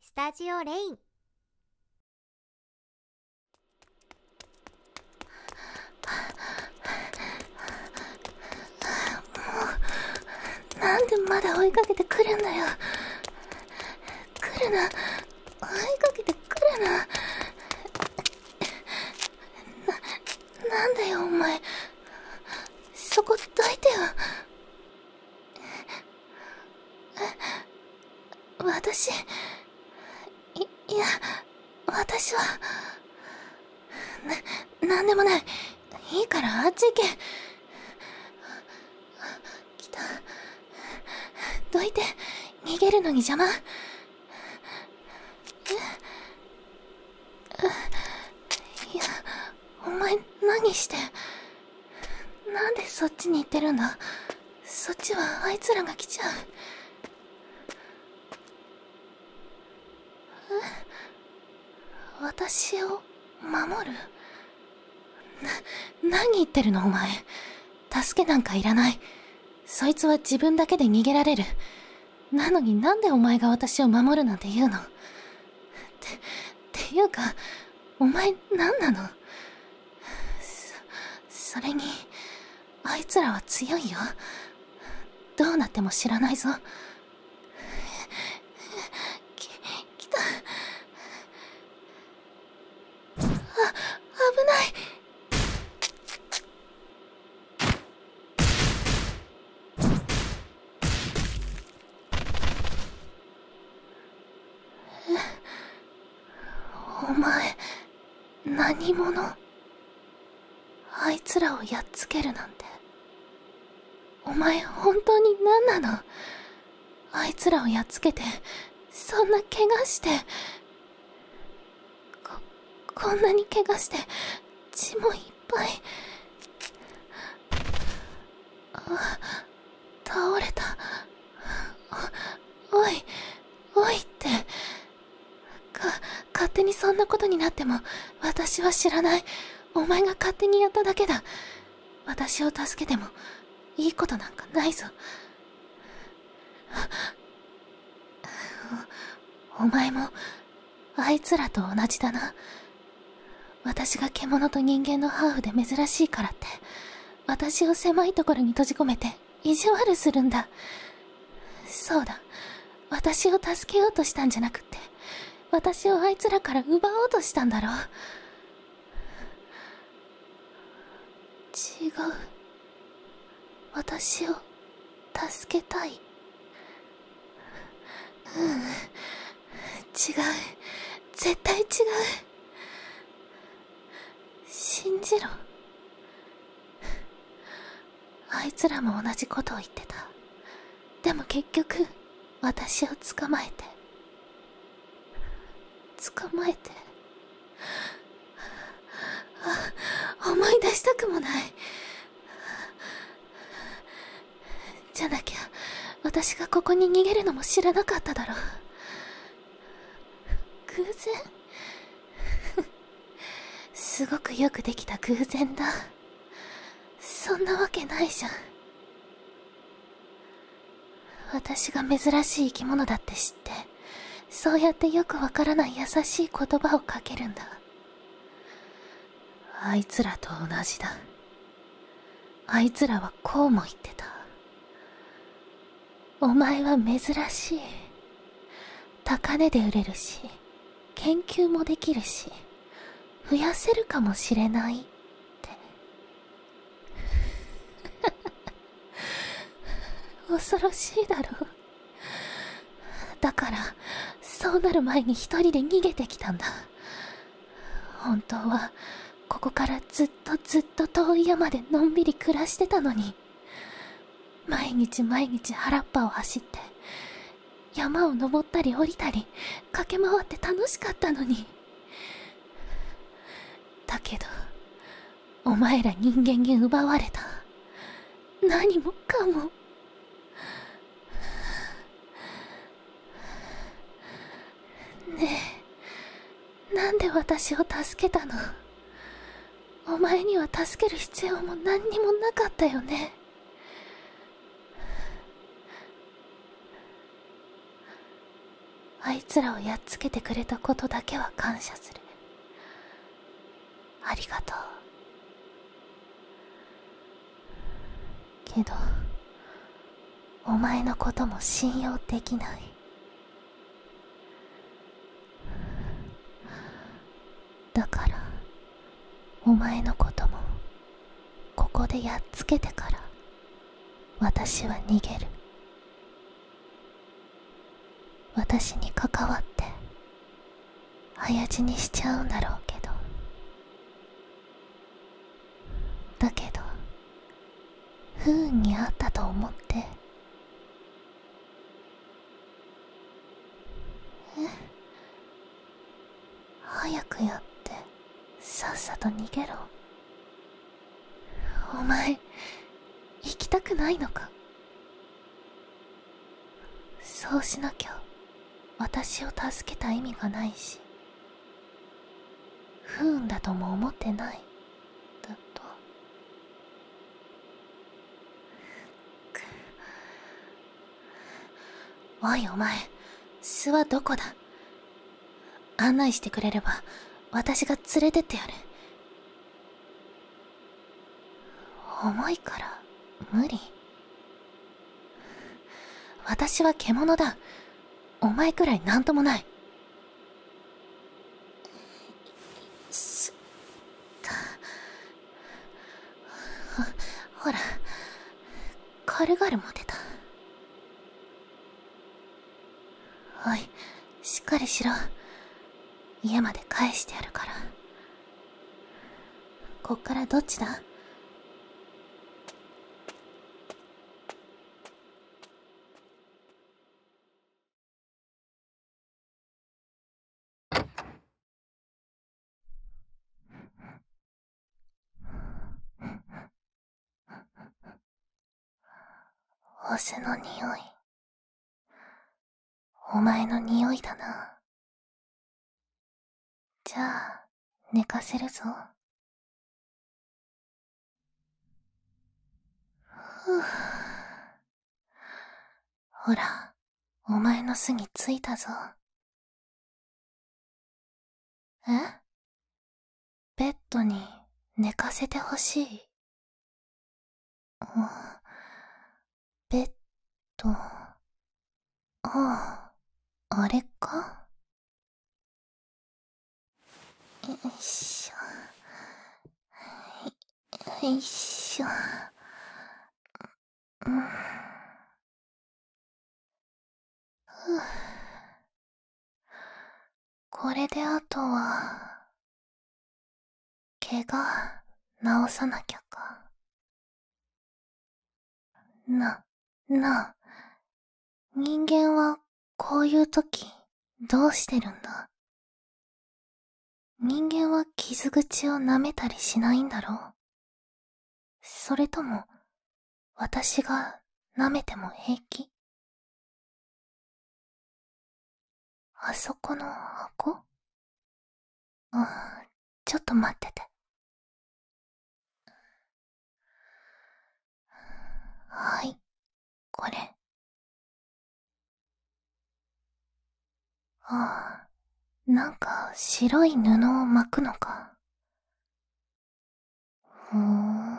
スタジオレインもなんでまだ追いかけてくるんだよ来るな追いかけてくるなななんだよお前そこどいてよ私いいや私はな何でもないいいからあっち行け来たどいて逃げるのに邪魔いやお前何してなんでそっちに行ってるんだそっちはあいつらが来ちゃうえ私を守るな何言ってるのお前助けなんかいらないそいつは自分だけで逃げられるなのになんでお前が私を守るなんて言うのって、っていうか、お前何なのそ、れに、あいつらは強いよ。どうなっても知らないぞ。き、きた。あ、危ない。えお前何者あいつらをやっつけるなんてお前本当に何なのあいつらをやっつけてそんな怪我してここんなに怪我して血もいっぱいあ倒れたおおいおいってか勝手にそんなことになっても私は知らないお前が勝手にやっただけだ私を助けてもいいことなんかないぞお前もあいつらと同じだな私が獣と人間のハーフで珍しいからって私を狭いところに閉じ込めて意地悪するんだそうだ私を助けようとしたんじゃなくって私をあいつらから奪おうとしたんだろう違う私を助けたいうん違う絶対違う信じろあいつらも同じことを言ってたでも結局私を捕まえて捕まえてあ思い出したくもないじゃなきゃ私がここに逃げるのも知らなかっただろう偶然すごくよくできた偶然だそんなわけないじゃん私が珍しい生き物だって知ってそうやってよくわからない優しい言葉をかけるんだあいつらと同じだあいつらはこうも言ってたお前は珍しい高値で売れるし研究もできるし増やせるかもしれないって 恐ろしいだろだからそうなる前に一人で逃げてきたんだ本当はここからずっとずっと遠い山でのんびり暮らしてたのに毎日毎日原っぱを走って山を登ったり下りたり駆け回って楽しかったのにだけどお前ら人間に奪われた何もかもねえなんで私を助けたのお前には助ける必要も何にもなかったよねあいつらをやっつけてくれたことだけは感謝するありがとうけどお前のことも信用できないだからお前のこともここでやっつけてから私は逃げる私に関わって早死にしちゃうんだろうけどだけど不運にあったと思ってえ早くやってさっさと逃げろお前行きたくないのかそうしなきゃ私を助けた意味がないし不運だとも思ってないだとおいお前巣はどこだ案内してくれれば私が連れてってやる重いから無理私は獣だお前くらい何ともないす。っかほら軽々モテたおいしっかりしろ家まで返してやるからこっからどっちだお酢の匂いお前の匂いだなじゃあ寝かせるぞほら、お前の巣に着いたぞ。えベッドに寝かせてほしい。ベッド。ああ、あれかよいしょよいしょ、うん、これであとは怪我治さなきゃかなな人間はこういうとき、どうしてるんだ人間は傷口を舐めたりしないんだろうそれとも私が舐めても平気あそこの箱ああちょっと待ってて。はいこれああなんか白い布を巻くのかふん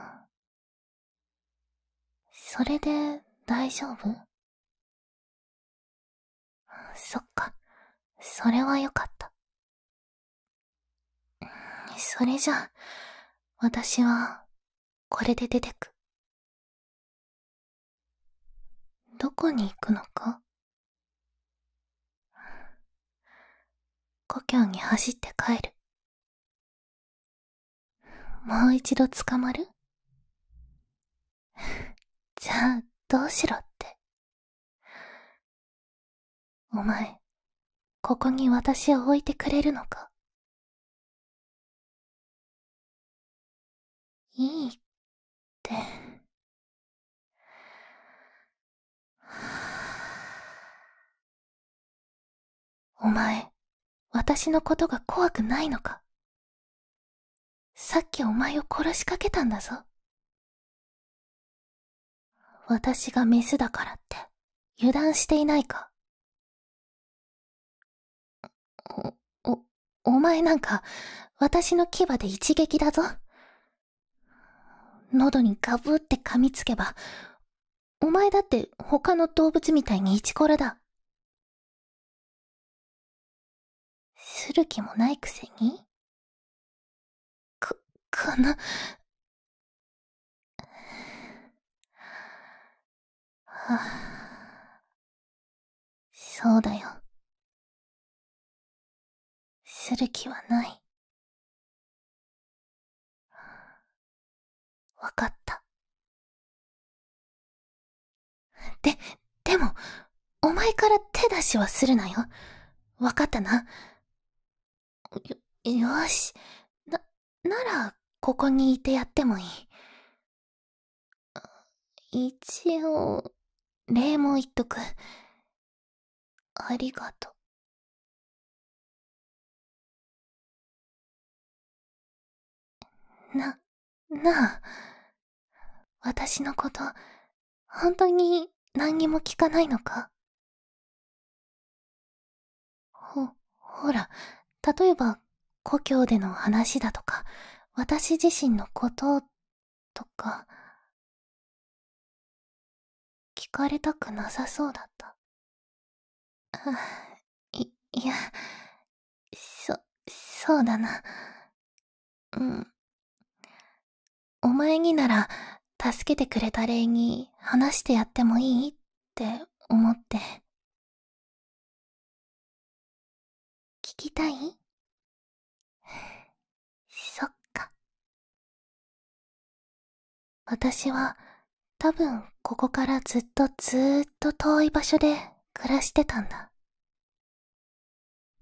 それで大丈夫そっかそれはよかったそれじゃ、私は、これで出てく。どこに行くのか故郷に走って帰る。もう一度捕まる じゃあ、どうしろって。お前、ここに私を置いてくれるのかいいって。お前、私のことが怖くないのかさっきお前を殺しかけたんだぞ。私がメスだからって油断していないかお、お、お前なんか私の牙で一撃だぞ。喉にガブって噛みつけば、お前だって他の動物みたいにイチコラだ。する気もないくせにこ、この、はあ、そうだよ。する気はない。わかった。で、でも、お前から手出しはするなよ。わかったな。よ、よし。な、なら、ここにいてやってもいい。一応、礼も言っとく。ありがとう。な、なあ、私のこと、本当に何にも聞かないのかほ、ほら、例えば、故郷での話だとか、私自身のこととか、聞かれたくなさそうだった。あ、い、いや、そ、そうだな。うん。お前になら、助けてくれた礼に話してやってもいいって思って。聞きたい そっか。私は多分ここからずっとずーっと遠い場所で暮らしてたんだ。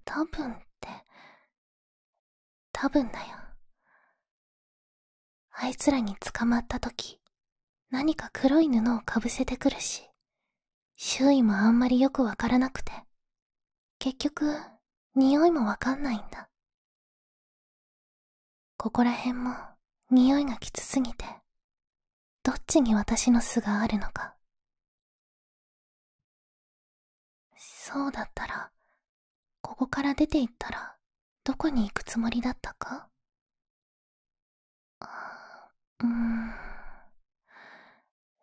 多分って、多分だよ。あいつらに捕まった時、何か黒い布をかぶせてくるし、周囲もあんまりよくわからなくて、結局、匂いもわかんないんだ。ここらへんも、匂いがきつすぎて、どっちに私の巣があるのか。そうだったら、ここから出ていったら、どこに行くつもりだったかあ、うーん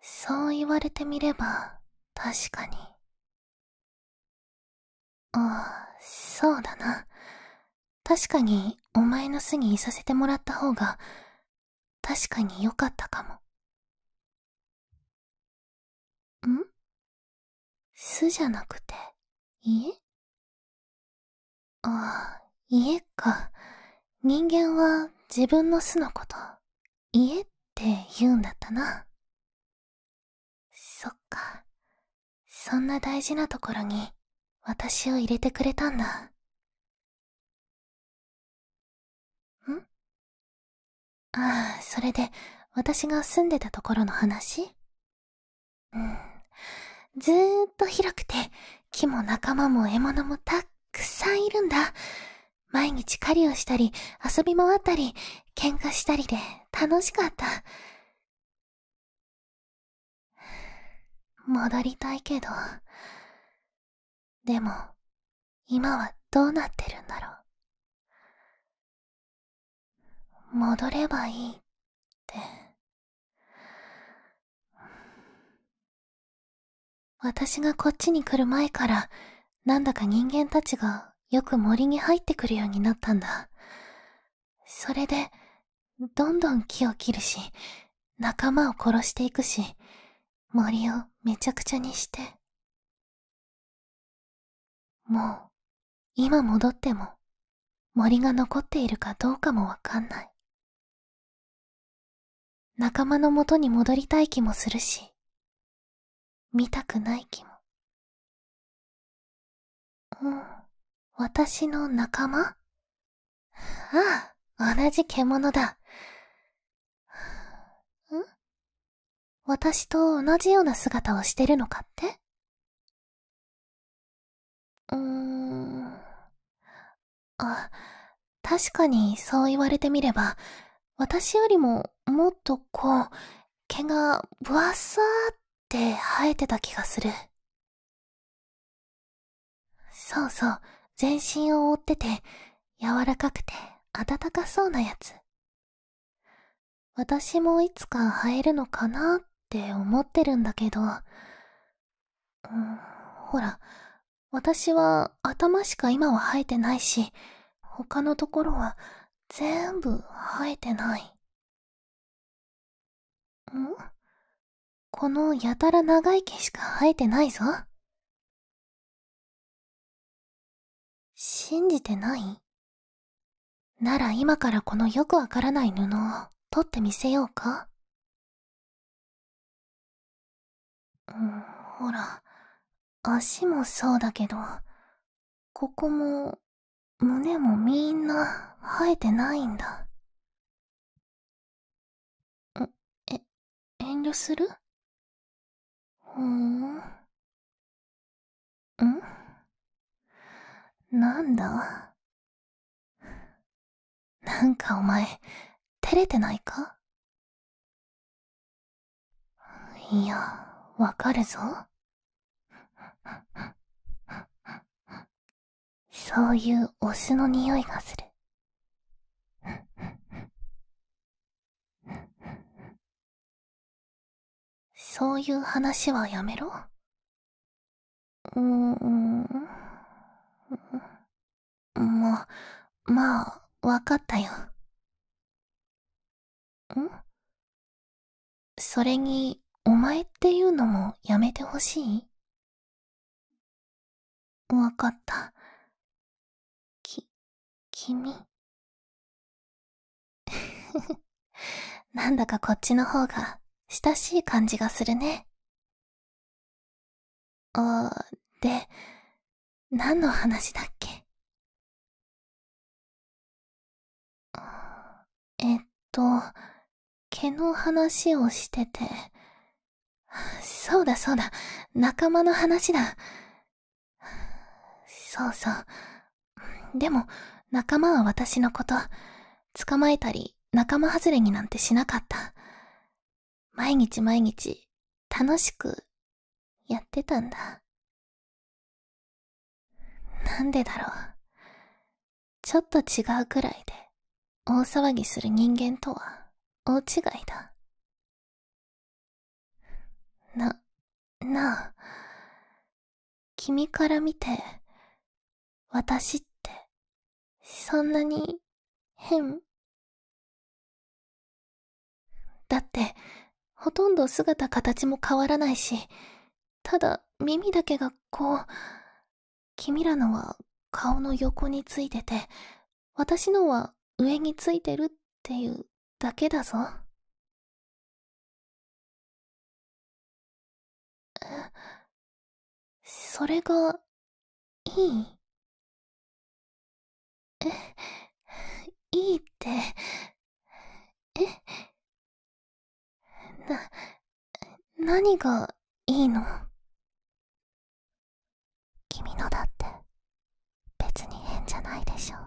そう言われてみれば確かにああそうだな確かにお前の巣にいさせてもらった方が確かに良かったかもん巣じゃなくて家ああ家か人間は自分の巣のこと家って言うんだったなそっかそんな大事なところに私を入れてくれたんだんああそれで私が住んでたところの話ずーっと広くて、木も仲間も獲物もたっくさんいるんだ。毎日狩りをしたり、遊び回ったり、喧嘩したりで楽しかった。戻りたいけど。でも、今はどうなってるんだろう。戻ればいいって私がこっちに来る前からなんだか人間たちがよく森に入ってくるようになったんだそれでどんどん木を切るし仲間を殺していくし森をめちゃくちゃにしてもう、今戻っても、森が残っているかどうかもわかんない。仲間の元に戻りたい気もするし、見たくない気も。うん、私の仲間ああ、同じ獣だ。ん私と同じような姿をしてるのかってうーん。あ、確かにそう言われてみれば、私よりももっとこう、毛がぶわさーって生えてた気がする。そうそう、全身を覆ってて、柔らかくて温かそうなやつ。私もいつか生えるのかなって思ってるんだけど、ほら、私は頭しか今は生えてないし、他のところは全部生えてない。んこのやたら長い毛しか生えてないぞ。信じてないなら今からこのよくわからない布を取ってみせようかほら、足もそうだけど、ここも、胸もみんな生えてないんだ。え、遠慮するふーん。んなんだなんかお前、照れてないかいや、わかるぞ。そういうお酢の匂いがする。そういう話はやめろ。うーん。ま、う、まあ、わかったよ。んそれに、お前っていうのもやめてほしいわかった。き、君。なんだかこっちの方が親しい感じがするね。あー、で、何の話だっけえっと、毛の話をしてて。そうだそうだ、仲間の話だ。そうそう、でも、仲間は私のこと。捕まえたり、仲間外れになんてしなかった。毎日毎日、楽しく、やってたんだ。なんでだろう。ちょっと違うくらいで、大騒ぎする人間とは、大違いだ。な、なあ、君から見て、私って、そんなに、変だって、ほとんど姿形も変わらないし、ただ耳だけがこう、君らのは顔の横についてて、私のは上についてるっていうだけだぞ。え、それが、いいえ、いいって、え、な、何がいいの君のだって別に変じゃないでしょ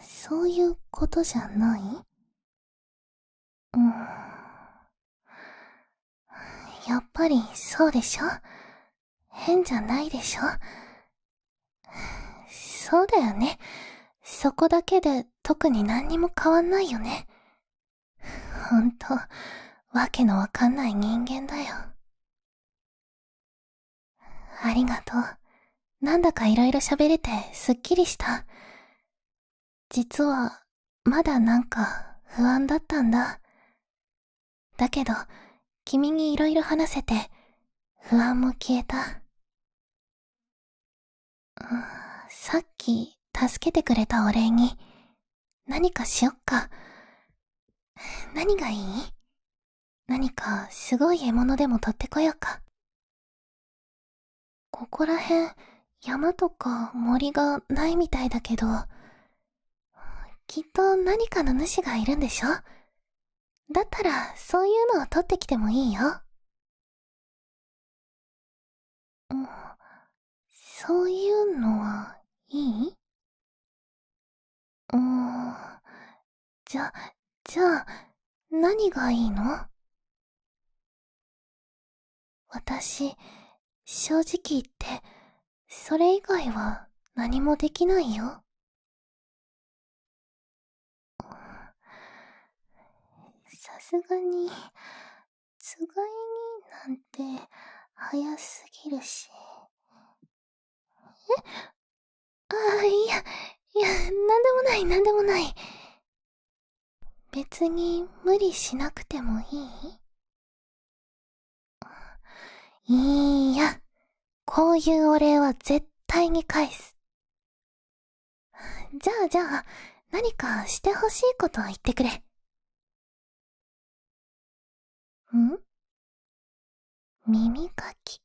そういうことじゃないうんやっぱりそうでしょ変じゃないでしょそうだよねそこだけで特に何にも変わんないよねほんとわけのわかんない人間だよありがとうなんだかいろいろ喋れてすっきりした。実は、まだなんか不安だったんだ。だけど、君にいろいろ話せて、不安も消えた。さっき、助けてくれたお礼に、何かしよっか。何がいい何かすごい獲物でも取ってこようか。ここら辺山とか森がないみたいだけどきっと何かの主がいるんでしょだったらそういうのを取ってきてもいいようそういうのはいいうんじゃ、じゃあ、何がいいの私、正直言って、それ以外は何もできないよ。さすがに、つがいになんて早すぎるし。えあ、いや、いや、なんでもない、なんでもない。別に無理しなくてもいいいいや、こういうお礼は絶対に返す。じゃあじゃあ、何かしてほしいこと言ってくれ。ん耳かき。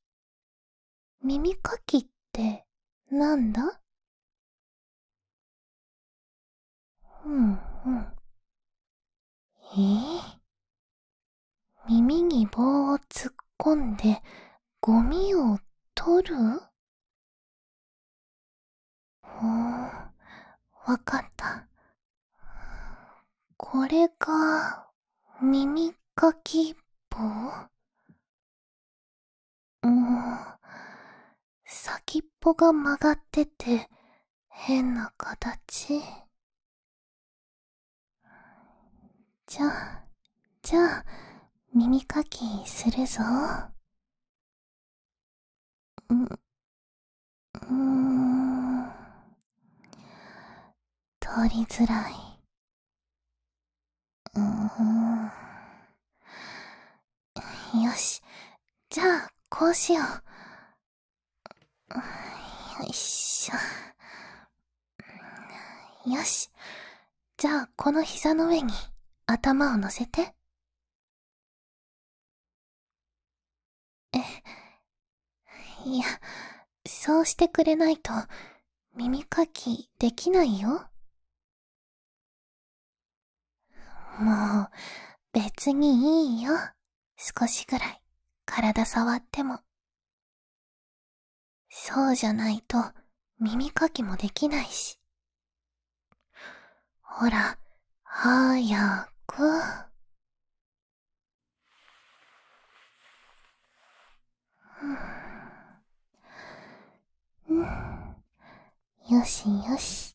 耳かきってなんだうんうんえー、耳に棒を突っ込んでゴミを取るほん、わかったこれが耳かき棒うん、先っぽが曲がってて変な形。じゃあ、じゃあ、耳かきするぞ。ん、うーん。通りづらい。うん。よし。じゃあ、こうしよう。よいしょ。よし。じゃあ、この膝の上に頭を乗せて。え、いや、そうしてくれないと耳かきできないよ。もう、別にいいよ。少しぐらい、体触っても。そうじゃないと、耳かきもできないし。ほら、早く。うん、よしよし。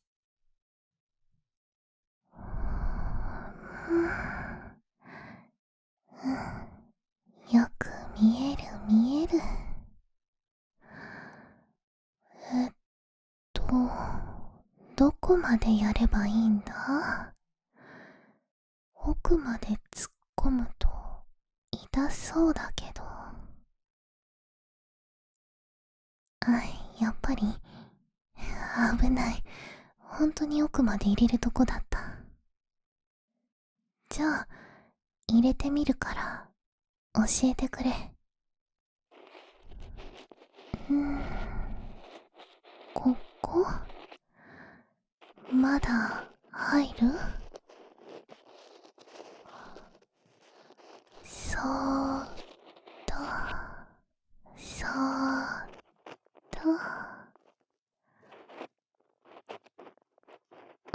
よく見える見える。えっと、どこまでやればいいんだ奥まで突っ込むと痛そうだけどあやっぱり危ない本当に奥まで入れるとこだったじゃあ入れてみるから教えてくれうんここまだ入るそーっとそーっと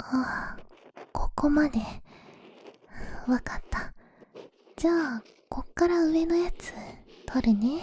あここまでわかったじゃあこっから上のやつ取るね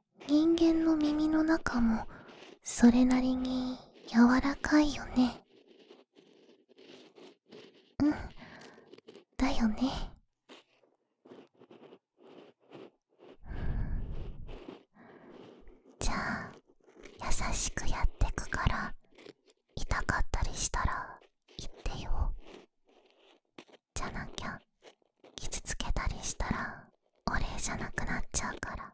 人間の耳の中もそれなりに柔らかいよねうんだよねじゃあ優しくやってくから痛かったりしたら言ってよじゃなきゃ傷つけたりしたらお礼じゃなくなっちゃうから。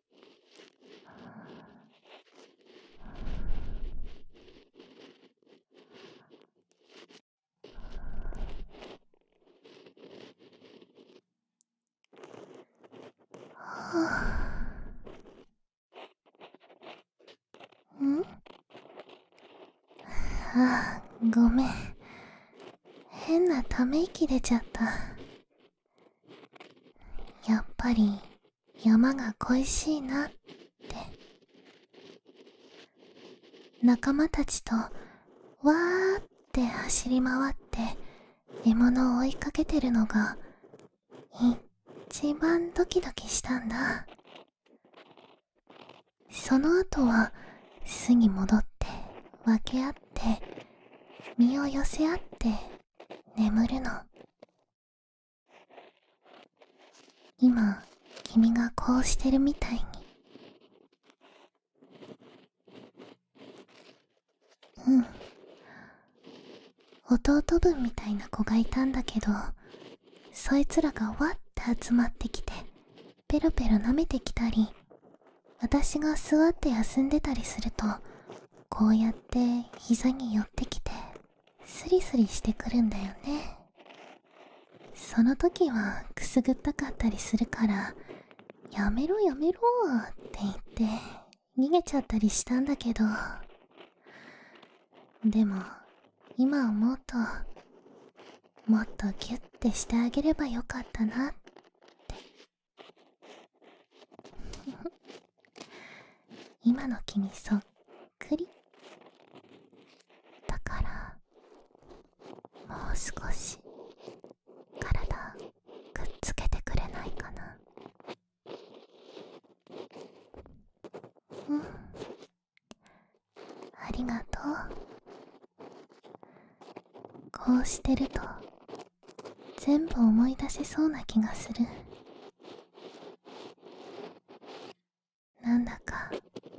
んあごめん変なため息出ちゃったやっぱり山が恋しいなって仲間たちとわーって走り回って獲物を追いかけてるのが一番ドキドキしたんだその後は巣に戻って分け合って身を寄せ合って眠るの今君がこうしてるみたいにうん弟分みたいな子がいたんだけどそいつらがわって集まってきてペロペロ舐めてきたり私が座って休んでたりするとこうやって膝に寄ってきてスリスリしてくるんだよねその時はくすぐったかったりするから「やめろやめろ」って言って逃げちゃったりしたんだけどでも今思うともっとギュッてしてあげればよかったなって今の気にそっくりだからもう少し体くっつけてくれないかなうんありがとうこうしてると全部思い出せそうな気がするなんだか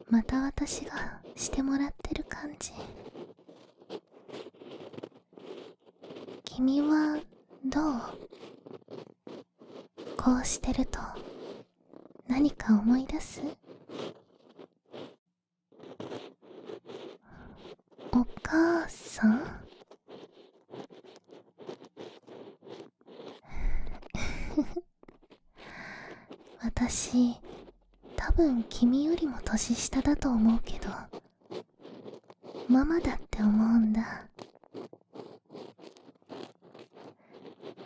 また私がしてもらってる感じ君はどうこうしてると何か思い出すお母さん 私多分君よりも年下だと思うけどママだって思うんだ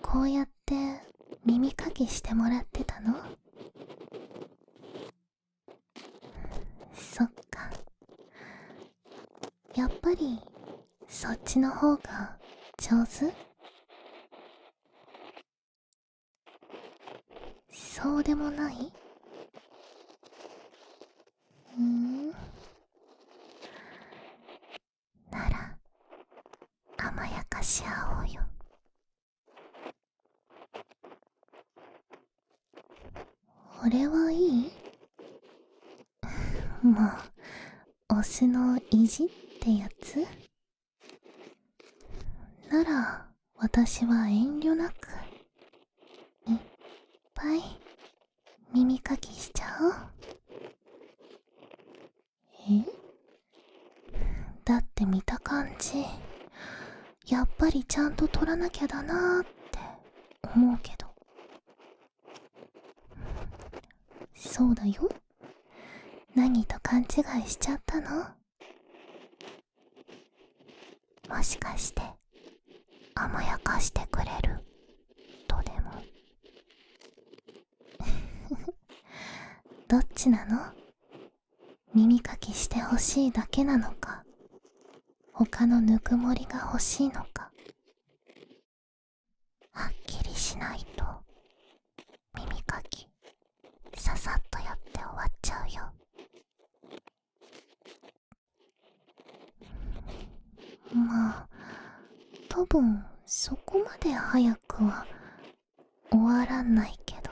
こうやって耳かきしてもらってたのそっかやっぱりそっちの方が上手そうでもないうんなら甘やかし合おうよ俺はいいもうオスの意地ってやつなら私は遠慮なくいっぱい耳かきしちゃおうえだって見た感じやっぱりちゃんと取らなきゃだなーって思うけどそうだよ何と勘違いしちゃったのもしかして甘やかしてくれるとでも どっちなの耳かきしてほしいだけなのか他のぬくもりが欲しいのかはっきりしないと耳かきささっとやって終わっちゃうよまあ多分そこまで早くは終わらないけど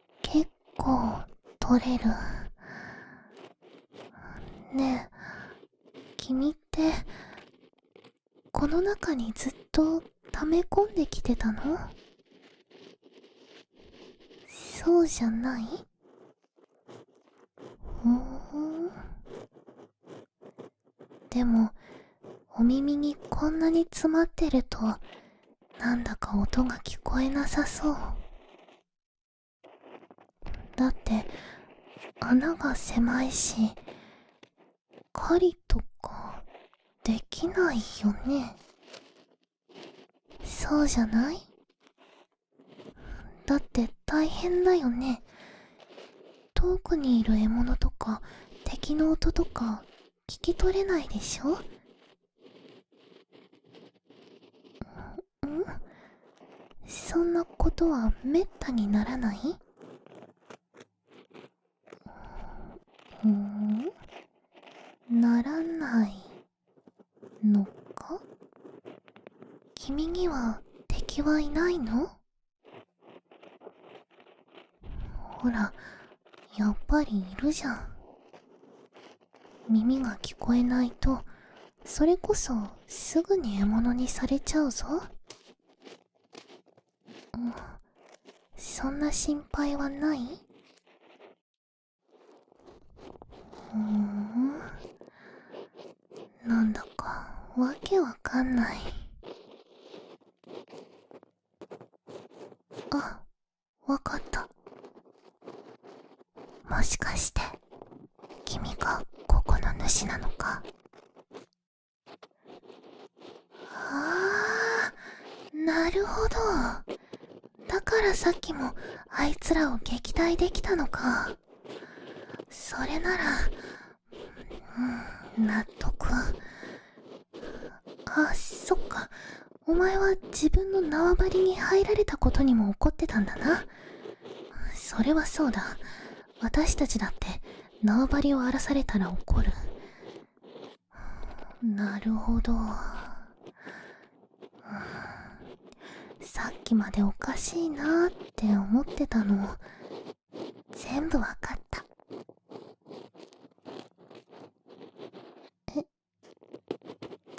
結構取れるねえ君ってこの中にずっと溜め込んできてたのそうじゃないふんでもお耳にこんなに詰まってるとなんだか音が聞こえなさそうだって穴が狭いし狩りとかできないよねそうじゃないだって大変だよね遠くにいる獲物とか敵の音とか聞き取れないでしょんそんなことはめったにならないならないのか君には敵はいないのほらやっぱりいるじゃん耳が聞こえないとそれこそすぐに獲物にされちゃうぞそんな心配はないふんなんだかわけわかんないあわかったもしかして君がここの主なのかああなるほどだからさっきもあいつらを撃退できたのかそれならうん納得あそっかお前は自分の縄張りに入られたことにも怒ってたんだなそれはそうだ私たちだって縄張りを荒らされたら怒るなるほどさっきまでおかしいなって思ってたの全部わかったえ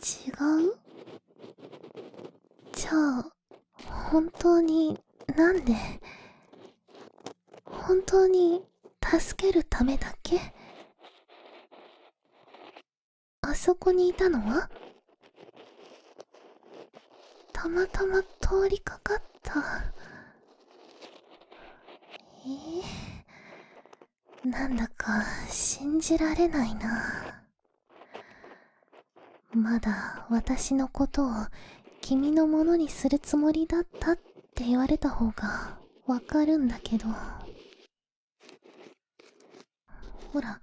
違うじゃあ本当になんで本当に助けるためだけあそこにいたのはたまたま通りかかったええなんだか信じられないなまだ私のことを君のものにするつもりだったって言われた方がわかるんだけどほら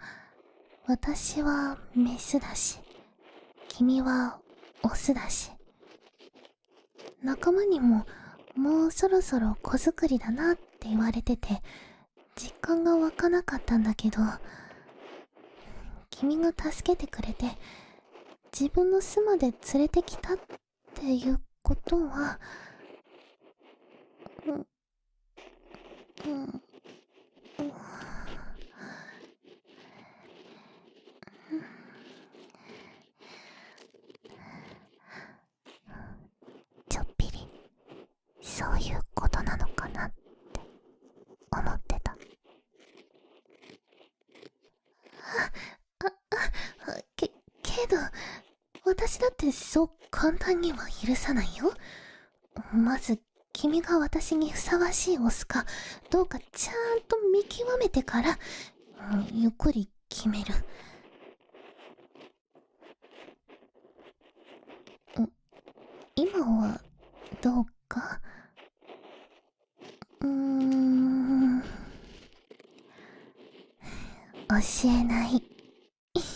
私はメスだし君はオスだし仲間にももうそろそろ子作りだなって言われてて実感が湧かなかったんだけど君が助けてくれて自分の巣まで連れてきたっていうことはうんうんうんちょっぴりそういうことなのかなって思ってたあああけけど私だってそう簡単には許さないよまず君が私にふさわしいオスかどうかちゃんと見極めてからゆっくり決めるうん、今はどうかうーん教えない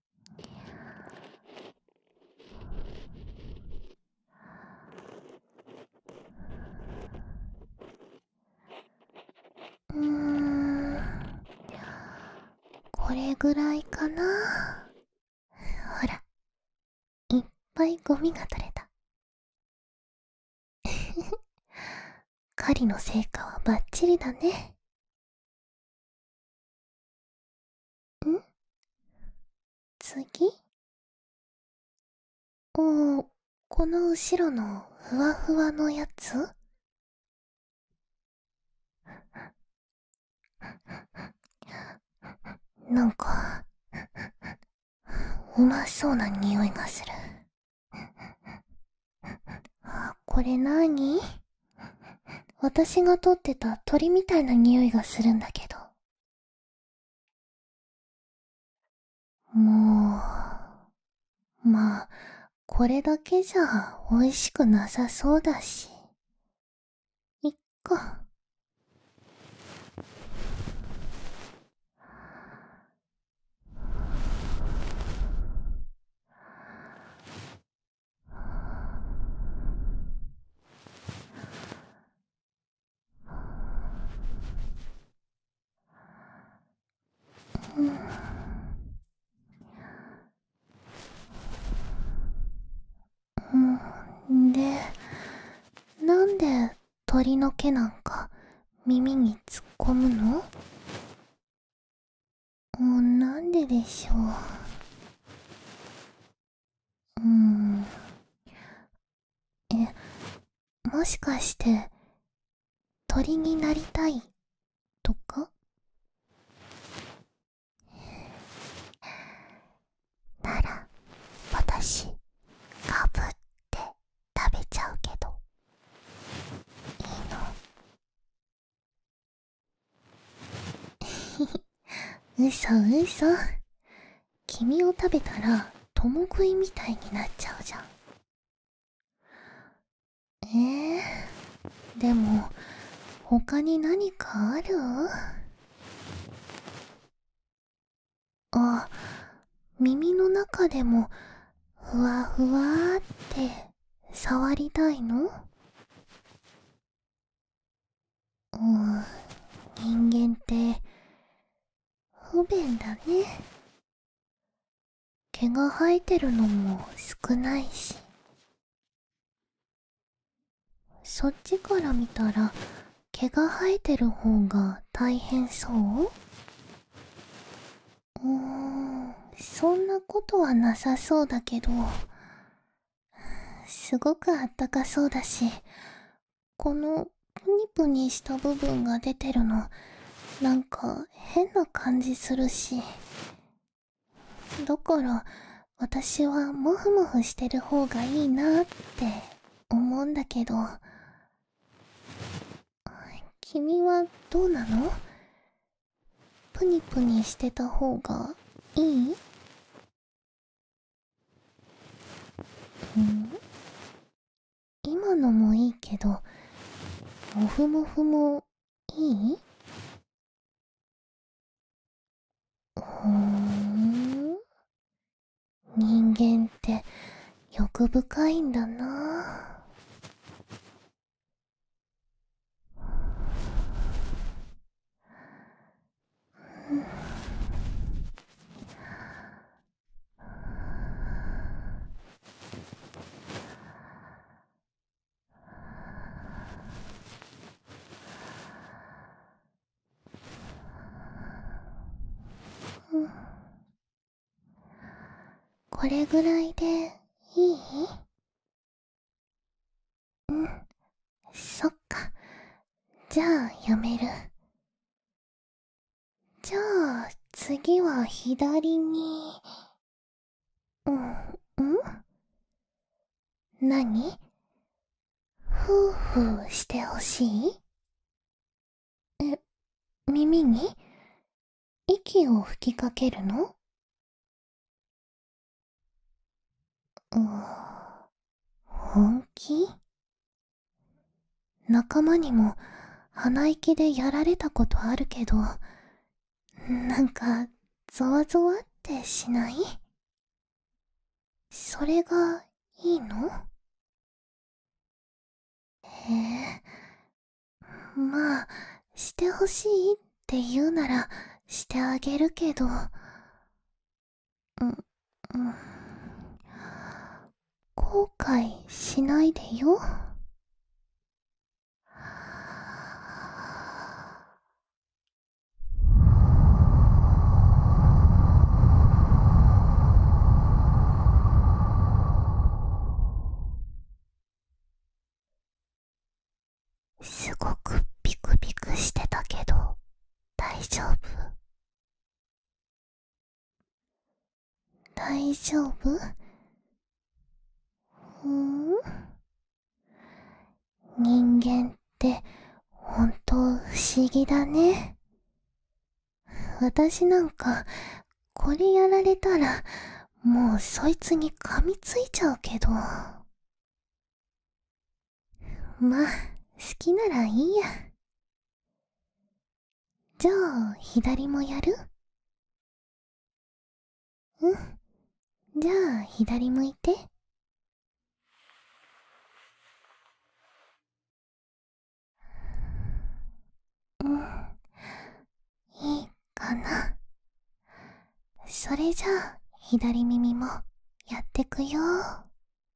うーんこれぐらいかなほらいっぱいゴミが取れた 狩りの成果はバッチリだねん次おおこの後ろのふわふわのやつなんかうまそうな匂いがするあこれなに私がとってた鳥みたいな匂いがするんだけど。もう、まあ、これだけじゃ美味しくなさそうだし。いっか。うんでなんで鳥の毛なんか耳に突っ込むのなんででしょううーんえもしかして鳥になりたいとかなら私かぶって食べちゃうけどいいの嘘 嘘君を食べたら共食いみたいになっちゃうじゃんえー、でも他に何かあるあ耳の中でもふわふわって触りたいのうん人間って不便だね毛が生えてるのも少ないしそっちから見たら毛が生えてる方が大変そううーんそんなことはなさそうだけどすごくあったかそうだしこのプニプニした部分が出てるのなんか変な感じするしだから私はもふもふしてる方がいいなって思うんだけど君はどうなのプニプニしてた方がいいん今のもいいけどもふもふもいいふん人間って欲深いんだな これぐらいでいいんそっかじゃあやめるじゃあ次は左にうんうん何ふうふうしてほしいえ耳に息を吹きかけるの本気仲間にも鼻息でやられたことあるけど、なんかゾワゾワってしないそれがいいのへえ、まあ、してほしいって言うならしてあげるけど、うん、後悔しないでよ。すごくビクビクしてたけど大丈夫大丈夫ふん人間って本当不思議だね私なんかこれやられたらもうそいつに噛みついちゃうけど まあ、好きならいいや。じゃあ、左もやるうん。じゃあ、左向いて。うん。いいかな。それじゃあ、左耳もやってくよー。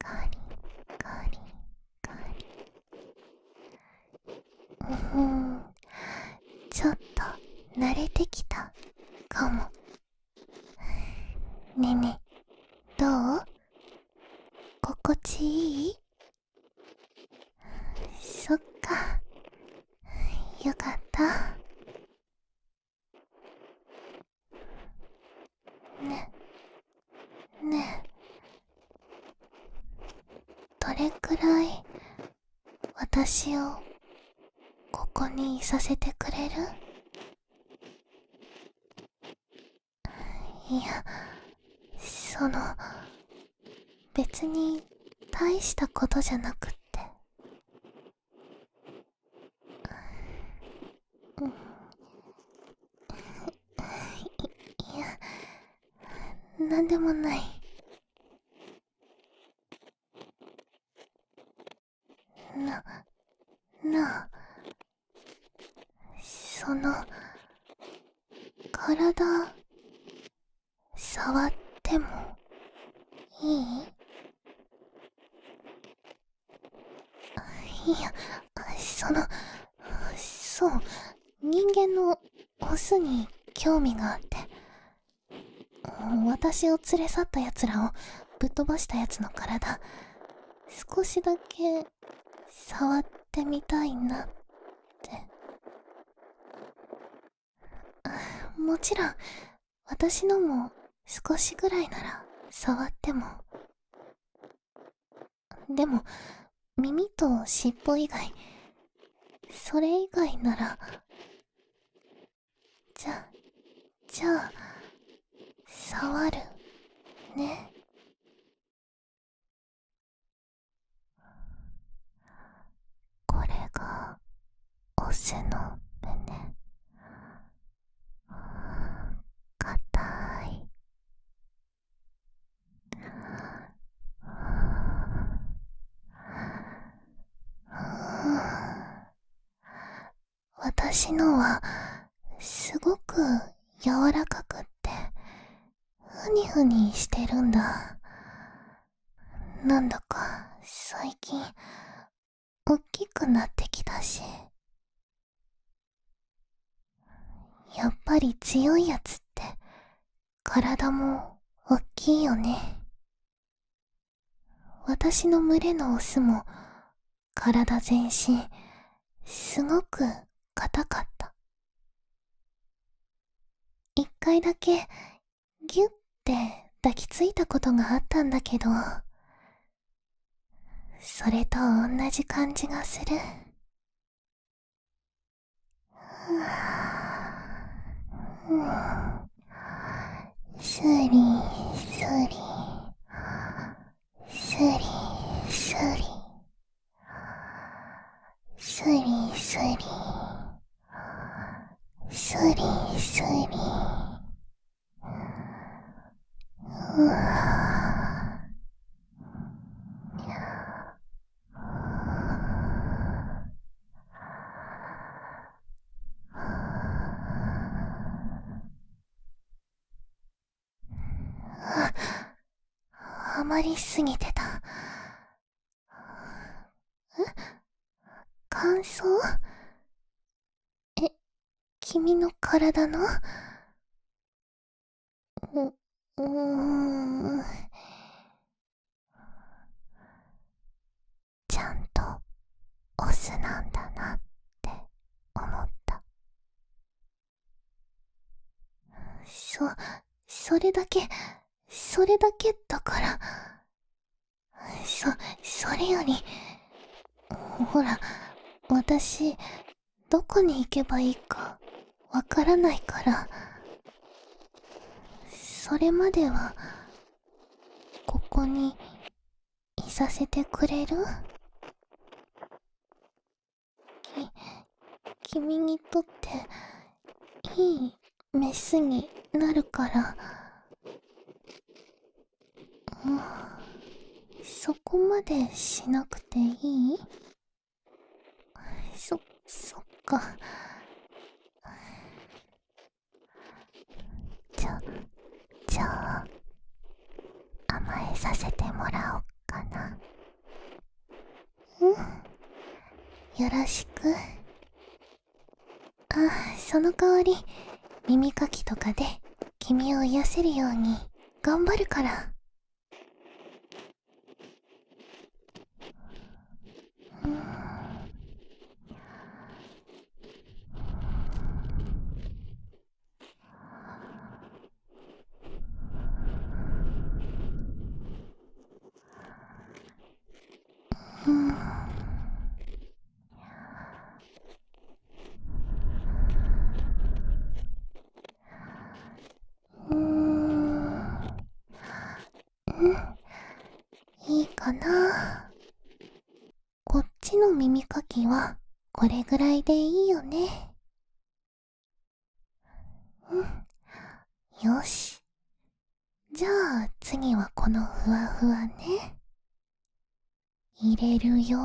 ガリガリうーんちょっと慣れてきたかもねえねえどう心地いいそっかよかったねねどれくらい私をここにいさせてくれるいやその別に大したことじゃなくってうん。いやなんでもないななあその体触ってもいいいやそのそう人間のオスに興味があって私を連れ去ったやつらをぶっ飛ばしたやつの体少しだけ触ってみたいなってもちろん私のも少しぐらいなら触ってもでも耳と尻尾以外それ以外ならじゃじゃあ触るねこれがオスの胸かたい私のはすごく柔らかくってふにふにしてるんだなんだか最近おっきくなってきたしやっぱり強いやつって体もおっきいよね私の群れのオスも体全身すごく硬かった一回だけギュッて抱きついたことがあったんだけどそれとおんなじ感じがする。すりすりすりすりすりすりすりすりあまりすぎてた。え感想…?え、君の体のう、うーん。ちゃんとオスなんだなって思った。そ、それだけ、それだけだから。そ、それより、ほら私どこに行けばいいかわからないからそれまではここにいさせてくれるき君にとっていいメスになるからあそこまでしなくていいそそっかじゃじゃあ甘えさせてもらおっかなうんよろしくあその代わり耳かきとかで君を癒せるように頑張るからうんうんうんいいかなこっちの耳かきはこれぐらいでいいよねうんよしじゃあ次はこのふわふわね入れるよ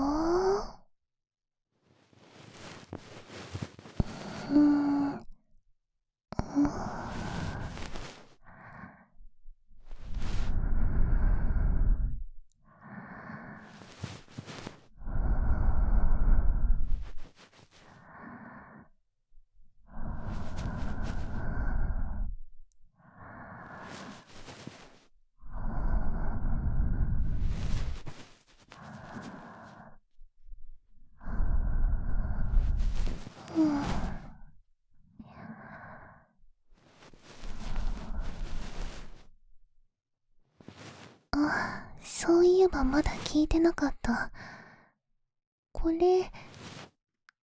んうんあそういえばまだ聞いてなかったこれ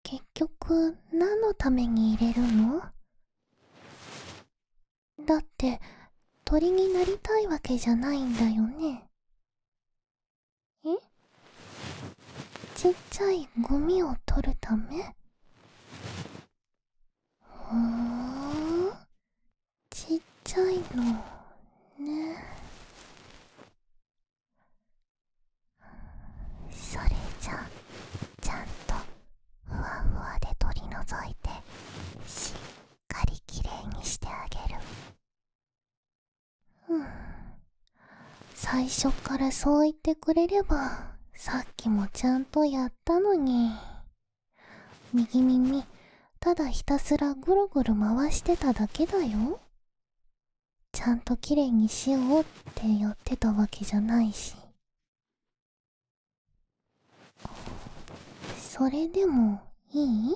結局何のために入れるのだって鳥になりたいわけじゃないんだよねえちっちゃいゴミを取るためふんちっちゃいのねそれじゃちゃんとふわふわで取り除いてしっかりきれいにしてあげるうん最初からそう言ってくれればさっきもちゃんとやったのに右耳ただひたすらぐるぐる回してただけだよちゃんときれいにしようってやってたわけじゃないしそれでもいい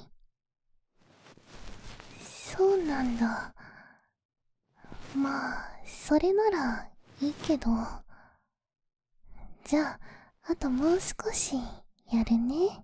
そうなんだまあそれならいいけどじゃああともう少しやるね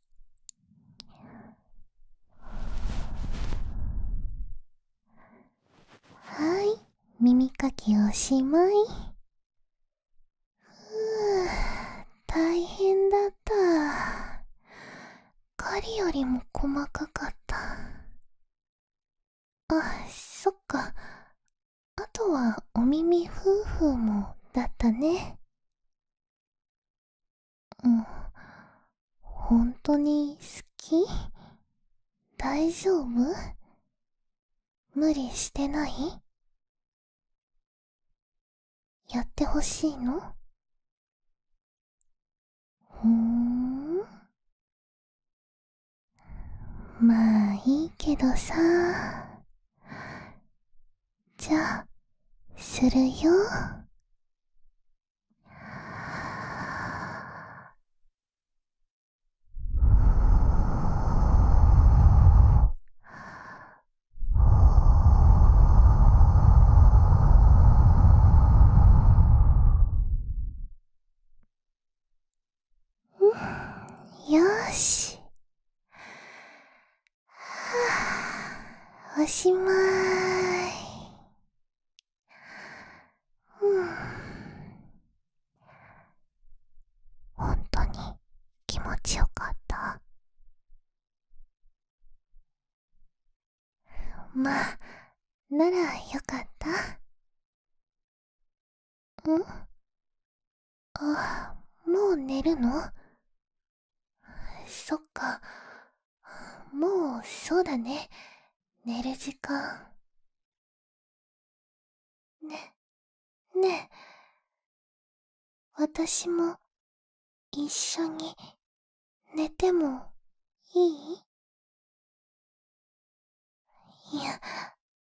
はい耳かきおしまいふう大変だった狩りよりも細かかったあそっかあとはお耳夫婦もだったねうん、本当に好き大丈夫無理してないやってほしいのふーん。まあいいけどさ。じゃするよ。よし おしまい。ほん。とに気持ちよかった。まあ、ならよかった。んあ、もう寝るの そっかもうそうだね寝る時間ねねえ私も一緒に寝てもいいいや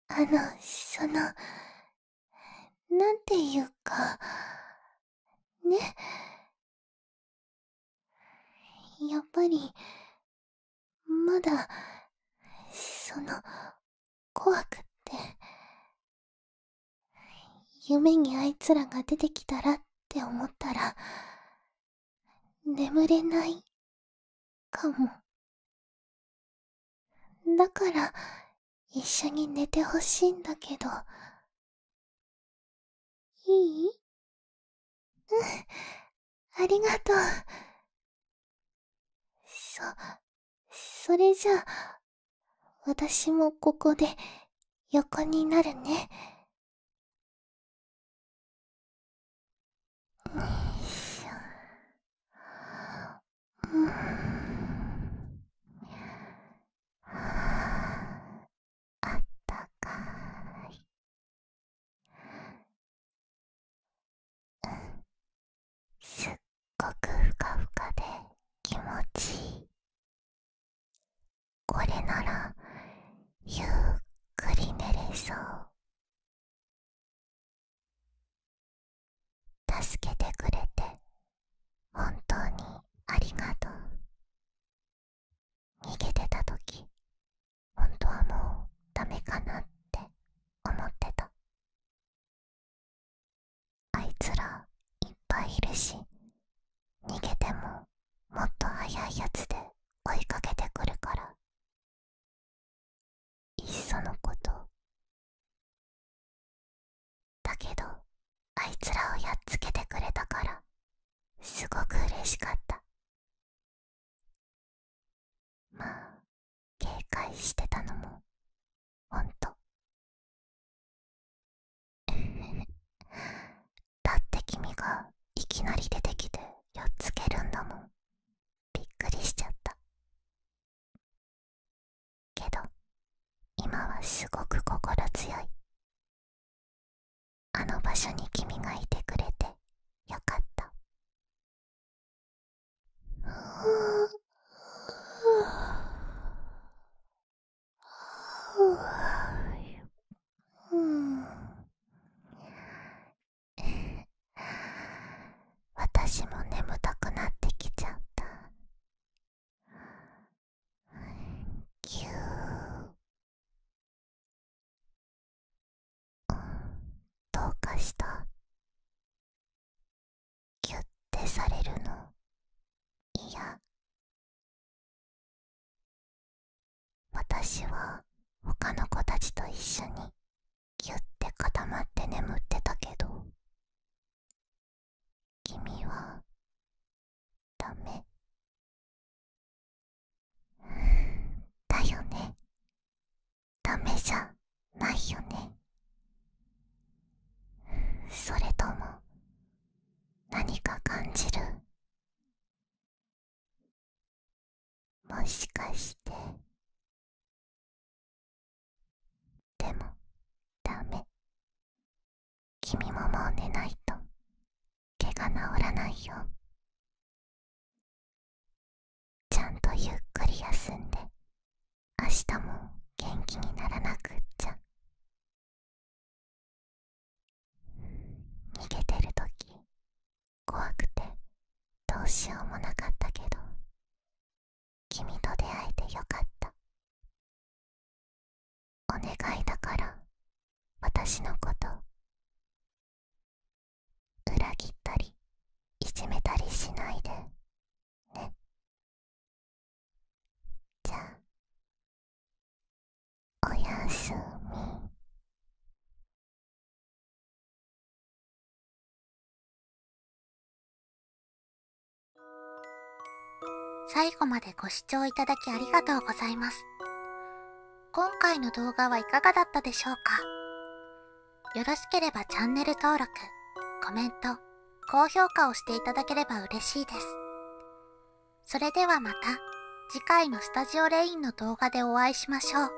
あのそのなんていうか、ね。やっぱり、まだ、その、怖くって。夢にあいつらが出てきたらって思ったら、眠れない、かも。だから、一緒に寝てほしいんだけど。いいうん、ありがとう。そ、それじゃあ、私もここで横になるね。うん、あったかい。すっごくふかふかで気持ちいいこれならゆっくり寝れそう助けてくれて本当にありがとう逃げてた時本当はもうダメかなって思ってたあいつらいっぱいいるし逃げてももっと早いやつで追いかけてくるからいっそのことだけどあいつらをやっつけてくれたからすごく嬉しかったまあ警戒してたのもほんと だって君がいきなり出てきてやっつけるんだもんびっくりしちゃったけど今はすごく心強いあの場所に君がいてくれてよかった 私も眠たくなってきちゃったぎゅーどうかしたぎゅってされるのいや私は他の子たちと一緒にぎゅって固まって眠ってたけど君はダメだよねダメじゃないよねそれとも何か感じるもしかしてでもダメ君ももう寝ないと毛が治らないよちゃんとゆっくり休んで明日も元気にならなくっちゃ逃げてる時、怖くてどうしようもなかったけど君と出会えてよかったお願いだから私のこと裏切ったりいじめたりしないでねじゃあおやすみ最後までご視聴いただきありがとうございます。今回の動画はいかがだったでしょうかよろしければチャンネル登録、コメント、高評価をしていただければ嬉しいです。それではまた次回のスタジオレインの動画でお会いしましょう。